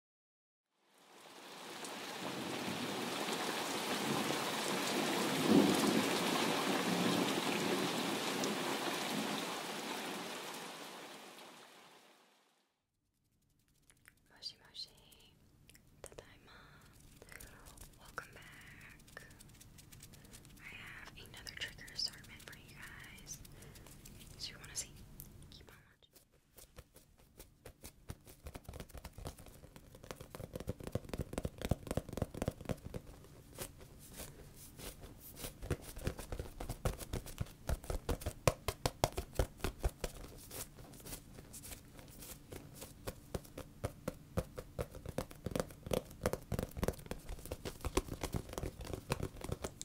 もしもし、ただいま。Welcome back. I have another trigger assortment for you guys. So you want to see?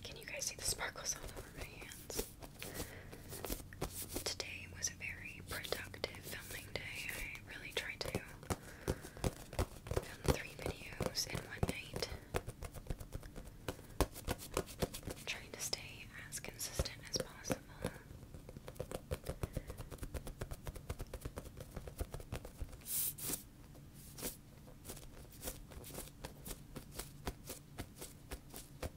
Can you guys see the sparkles all over my hands? Today was a very productive filming day. I really tried to film three videos in one night. trying to stay as consistent as possible. But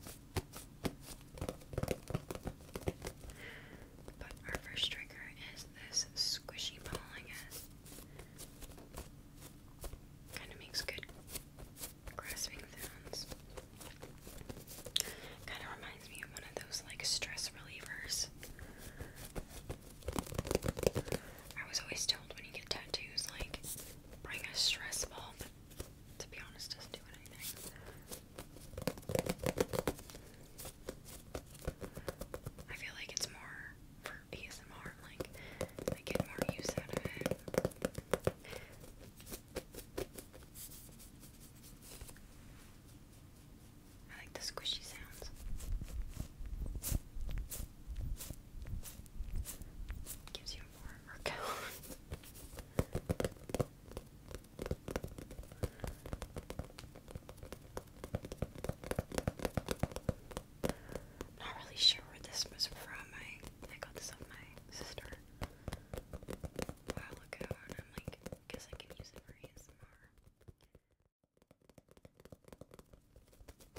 our first trigger is this squishy ball, I guess. Kind of makes good grasping sounds. Kind of reminds me of one of those like stress relievers. I was always told when you get tattoos, like bring a stress ball, to be honest, doesn't do anything. I feel like it's more for ASMR, like, I get more use out of it. I like the squishy sounds. Gives you more workout. Not really sure where this was from. I I got this off my sister a look ago, and I'm like, guess I can use it for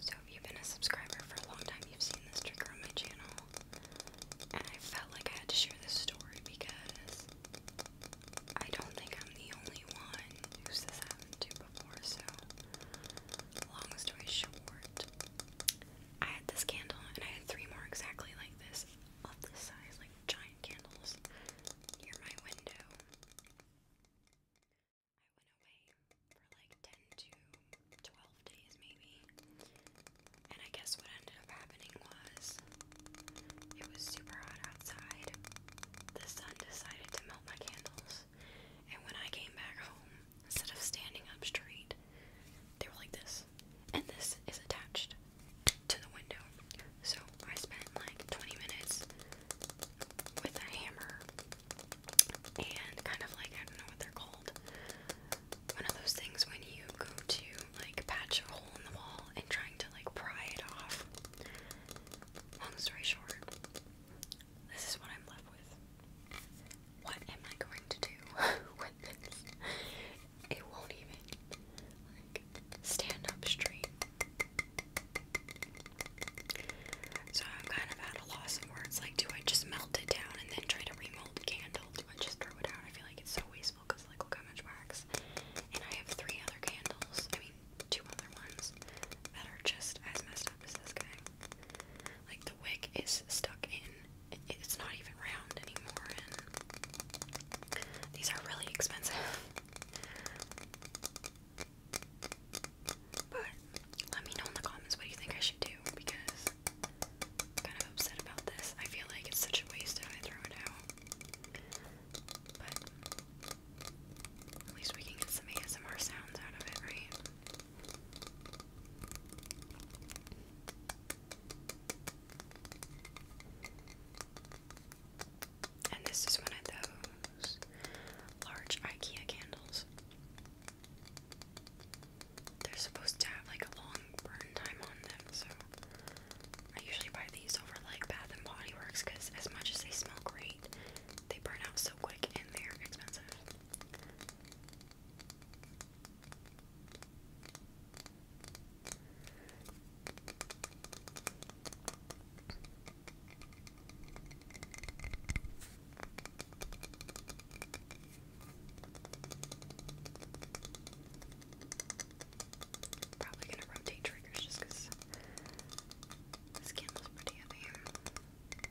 So, if you've been a subscriber for a long time, you've seen this trigger on my channel. And I felt like I had to share this story because I don't think I'm the only one who's this happened to before, so long story short, I had this candle and I had three more exactly like this, of this size, like giant candles near my window. I went away for like 10 to 12 days maybe. And I guess what ended up happening was it was super hot outside. The sun decided to melt my candles. And when I came back home, instead of standing up straight, they were like this. And this is attached to the window. So I spent like 20 minutes with a hammer and kind of like, I don't know what they're called. One of those things when you go to like patch a hole in the wall and trying to like pry it off. Long story short, this is what I'm left with. What am I going to do with this? It won't even stand up straight. So I'm kind of at a loss of words. Like, do I just melt it down and then try to remold the candle? Do I just throw it out? I feel like it's so wasteful because, like, how much wax. And I have three other candles two other ones that are just as messed up as this guy. Like the wick is stuck in, it's not even round anymore, these are really expensive. But let me know in the comments what you think I should do because I'm kind of upset about this. I feel like it's such a waste if I throw it out. But at least we can get some ASMR sounds out of it, right? And this is one of those large IKEA candles. They're supposed to have like a long burn time on them, so I usually buy these over like Bath and Body Works because as much as they smell great, they burn out so quick and they're expensive. Probably gonna rotate triggers just this candle's pretty heavy. I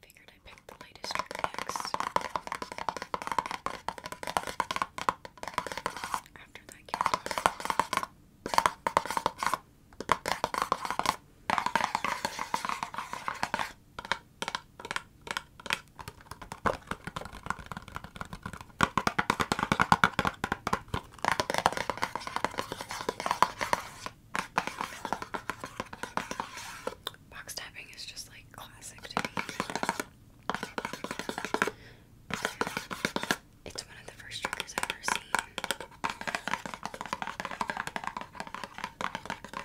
figured I picked the latest trick After that, candle. Box tapping is just like classic to me. It's one of the first triggers I've ever seen.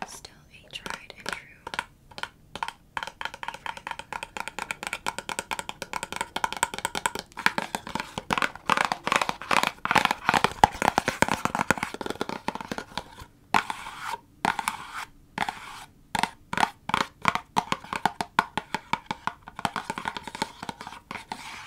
Still a tried and true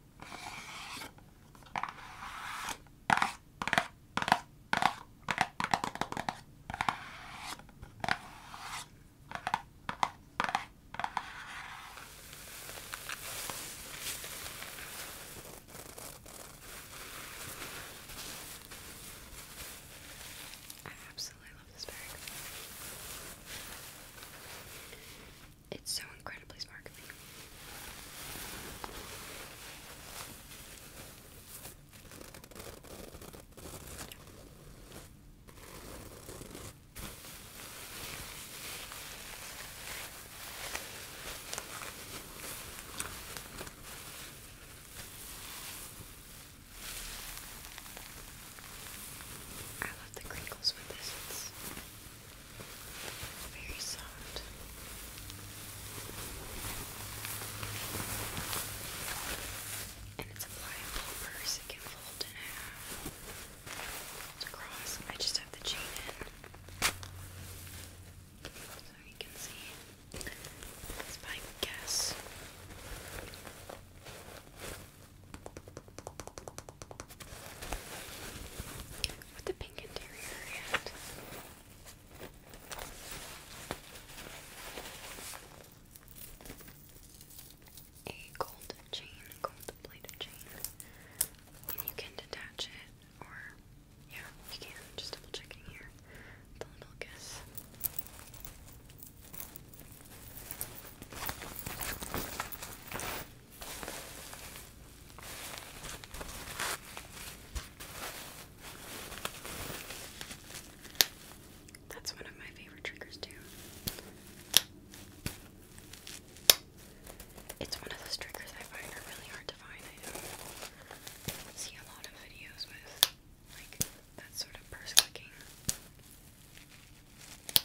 I absolutely love this bag. It's so incredibly sparkling. I love the crinkles with this. Very soft. And it's a pliable purse. It can fold in half. Fold across. I just have the chain in. So you can see. It's my guess with the pink interior and a gold chain, gold plated chain. And you can detach it, or yeah, you can. Just double checking here. The little kiss. That's one of my favorite triggers, too. It's one of those triggers I find are really hard to find. I see a lot of videos with like that sort of purse clicking.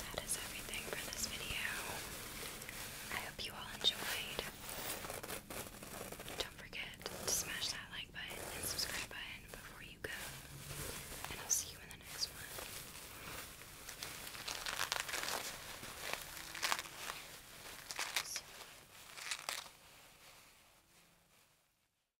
That is everything for this video. I hope you all enjoyed. Don't forget to smash that like button and subscribe button before you go. And I'll see you in the next one.